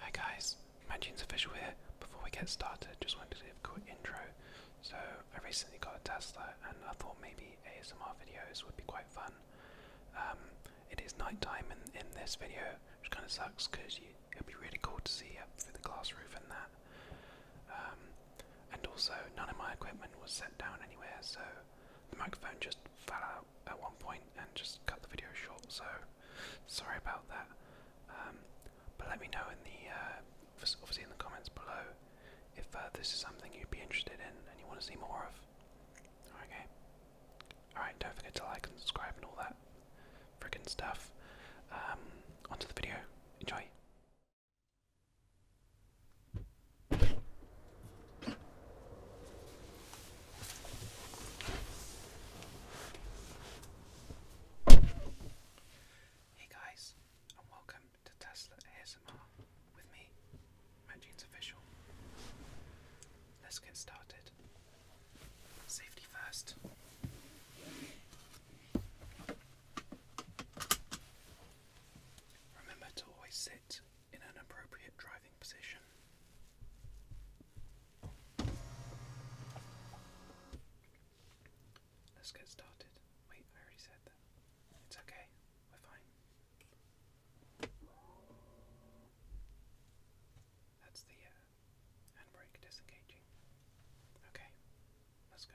Hi guys, my Magin's Official here. Before we get started, just wanted to give a quick intro. So, I recently got a Tesla and I thought maybe ASMR videos would be quite fun. Um, it is nighttime in, in this video, which kind of sucks because it would be really cool to see up through the glass roof and that. Um, and also, none of my equipment was set down anywhere, so the microphone just fell out at one point and just cut the video short. So, Sorry about that. Um, but let me know in the uh, obviously in the comments below if uh, this is something you'd be interested in and you want to see more of. Okay. All right. Don't forget to like and subscribe and all that freaking stuff. Um, onto the video. Enjoy. Hey guys, and welcome to Tesla ASMR with me, Matjeans Official. Let's get started. Safety first. Remember to always sit in an appropriate driving position. Let's get started. Wait, I already said that. It's okay, we're fine. That's the uh, handbrake disengaging. Okay, let's go.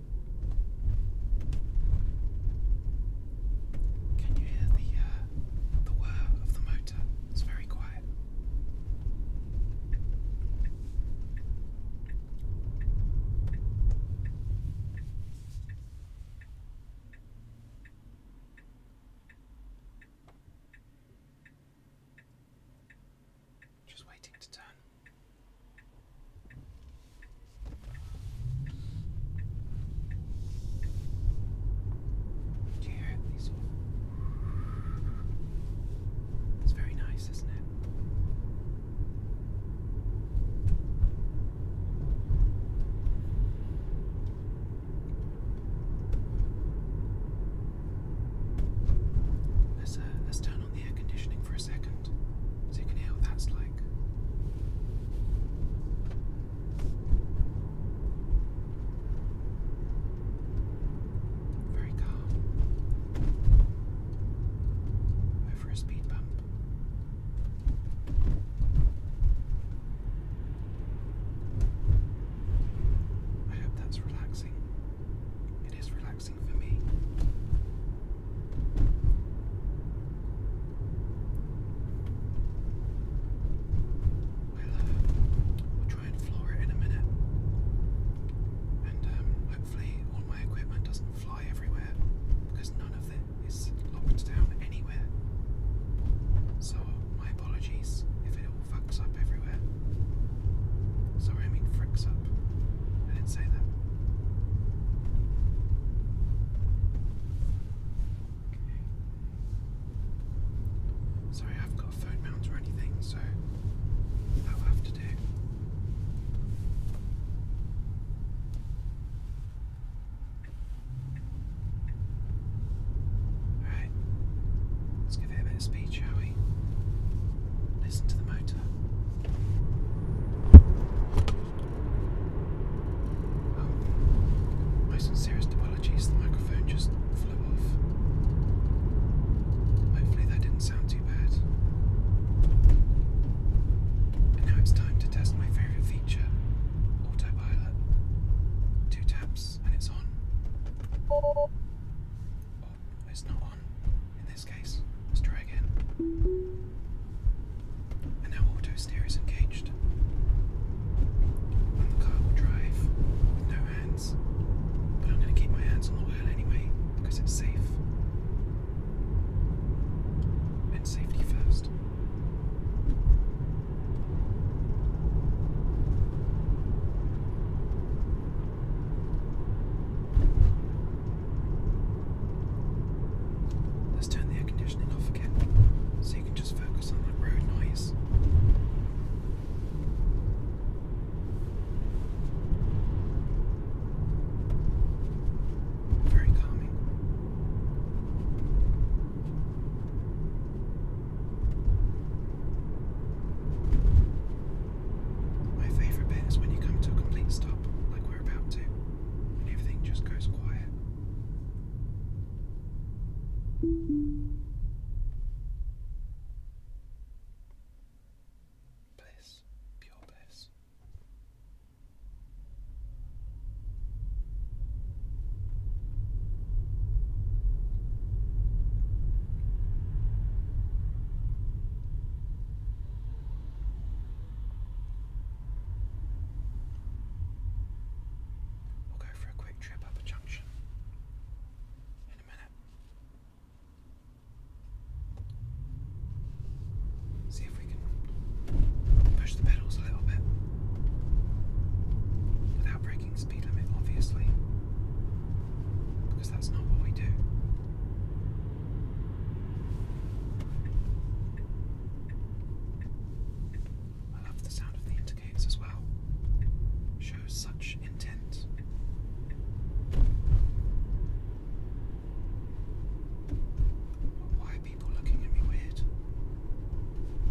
Can you hear the uh, the whir of the motor? It's very quiet. Just waiting to turn. It's very nice, isn't it? Let's turn on the air conditioning for second so you can hear what that's like. Very calm. Over a speed bump. I hope that's relaxing. It is relaxing relaxing for We'll, try and floor it in a minute. And um, hopefully, all my equipment doesn't fly everywhere because none of it is locked down anywhere. So, my apologies if it fucks up everywhere. Sorry, I mean fricks up. I didn't say that. Sorry, I have got phone mount or anything, so that'll have to do. Alright, let's give a bit of speed, shall we? Listen to the motor. Oh, my sincerest apologies, the microphone just flew off. Hopefully, that didn't sound too bad. now it's time to test my favourite feature autopilot. Two taps and it's on. Oh, it's not in this case. Let's try again. And now auto steer is engaged. And the car will drive with no hands. But I'm going to keep my hands on the wheel anyway because it's safe. And safety first. Let's turn the air conditioning off again so you can just focus on that road noise. Very calming. My favourite bit is when you come to a complete stop, like and everything just goes quiet. Bliss, pure bliss. We'll go for a quick trip up a junction in a minute. See if we can push the pedals a little bit without breaking speed limit, obviously, because that's not what we do. I love the sound of the indicators as well. Shows such intent. why are people looking at me weird?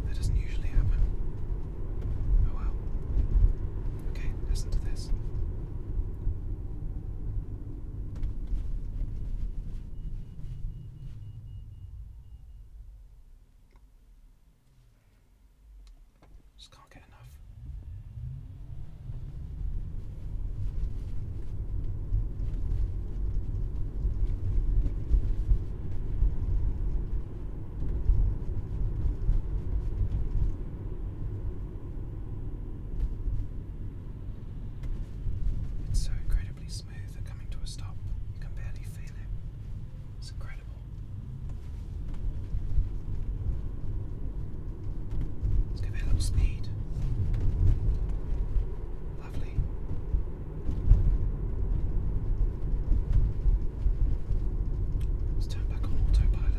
That doesn't usually happen. Oh well. Okay, listen to this. Just can't get enough. It's so incredibly smooth We're coming to a stop, you can barely feel it. It's incredible. Let's give it a little speed. Lovely. Let's turn back on autopilot.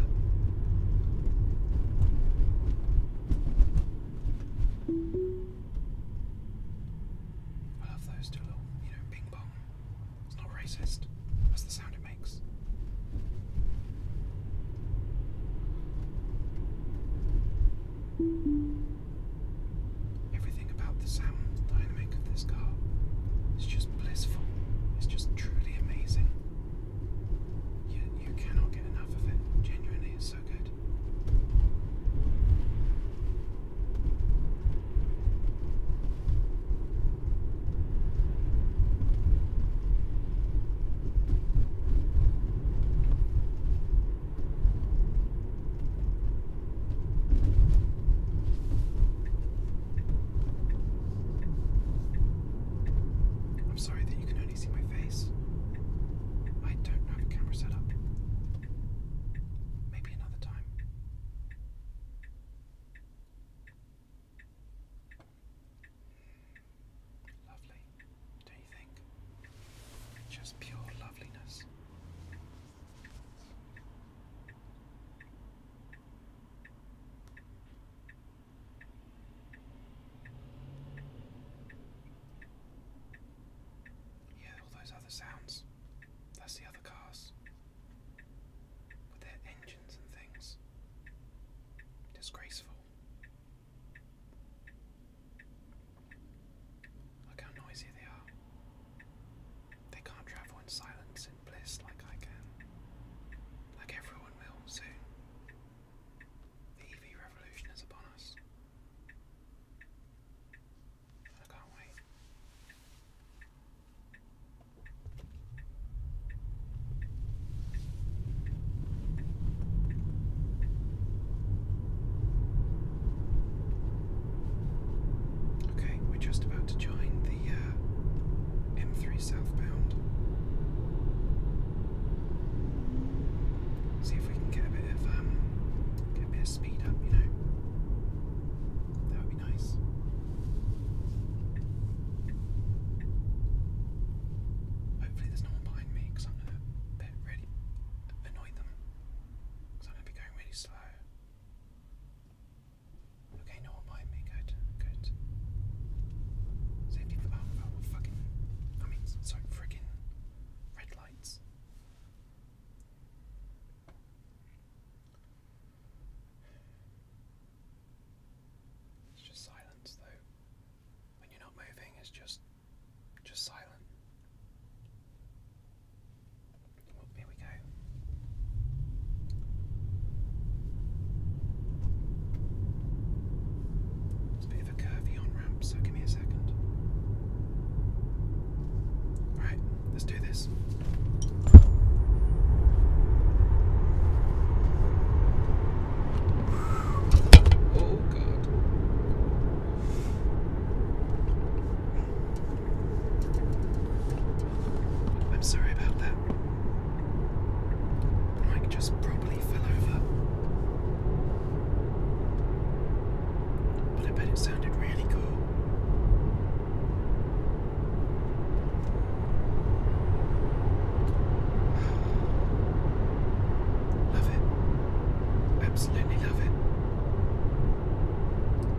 I love those two you know, ping pong. It's not racist, that's the sound it makes. Everything about the sound dynamic of this car is just blissful, it's just truly amazing. You, you cannot get enough of it. Genuinely, it's so good. I'm sorry that you can can you see my face? I don't have a camera set up. Maybe another time. Lovely, do you think? Just pure loveliness. Yeah, all those other sounds. That's the other cars. With their engines and things. Disgraceful. Look how noisy they are. They can't travel in silence and bliss like I can. Like everyone will soon. The EV revolution is upon us. I can't wait. Okay, we're just about to join the uh, M3 southbound. See if we can get a bit of um, get a bit of speed up, you know. That would be nice. Hopefully, there's no one behind me Because I'm gonna be going really slow. Okay, no one behind me. Good, good. Safety. Oh, oh, fucking I mean sorry, friggin' red lights. It's just silence though. When you're not moving it's just just silent. Oh, here we go. It's a bit of a curvy on ramp, so give me a second. Alright, let's do this. Oh god. I'm sorry about that. Mike just probably but I bet it sounded really cool. Love it. Absolutely love it.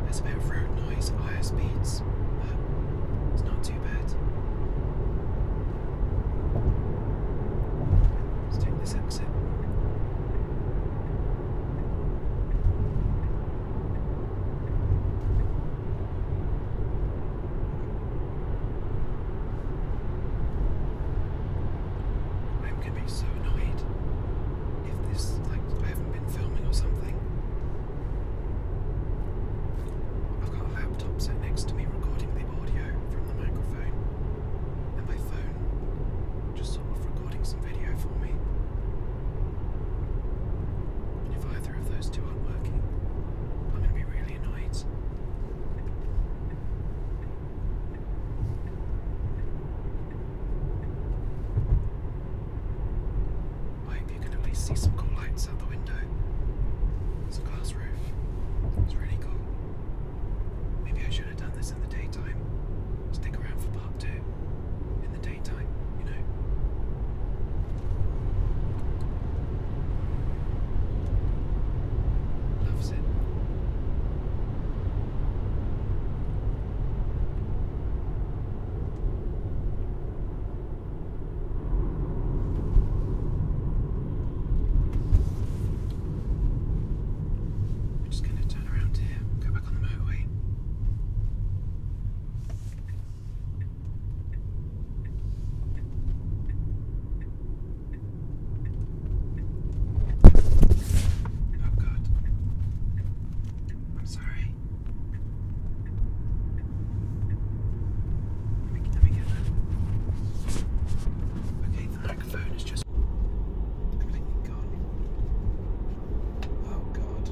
There's a bit of road noise at higher speeds, but it's not too bad. Let's take this exit. I'm gonna be so annoyed if this like I haven't been filming or something. I've got a laptop sat next to me recording this from the microphone and my phone just sort of recording some video for me. And if either of those two aren't working, I'm going to be really annoyed. I hope you can at least see some cool lights out the window. There's a car it's really cool. Maybe I should have done this in the daytime. Stick around for part two. In the daytime, you know. Loves it. We're just going to turn around here, go back on the motorway. Oh God. I'm sorry. Let me, let me get that. Okay, the microphone is just completely gone. Oh god.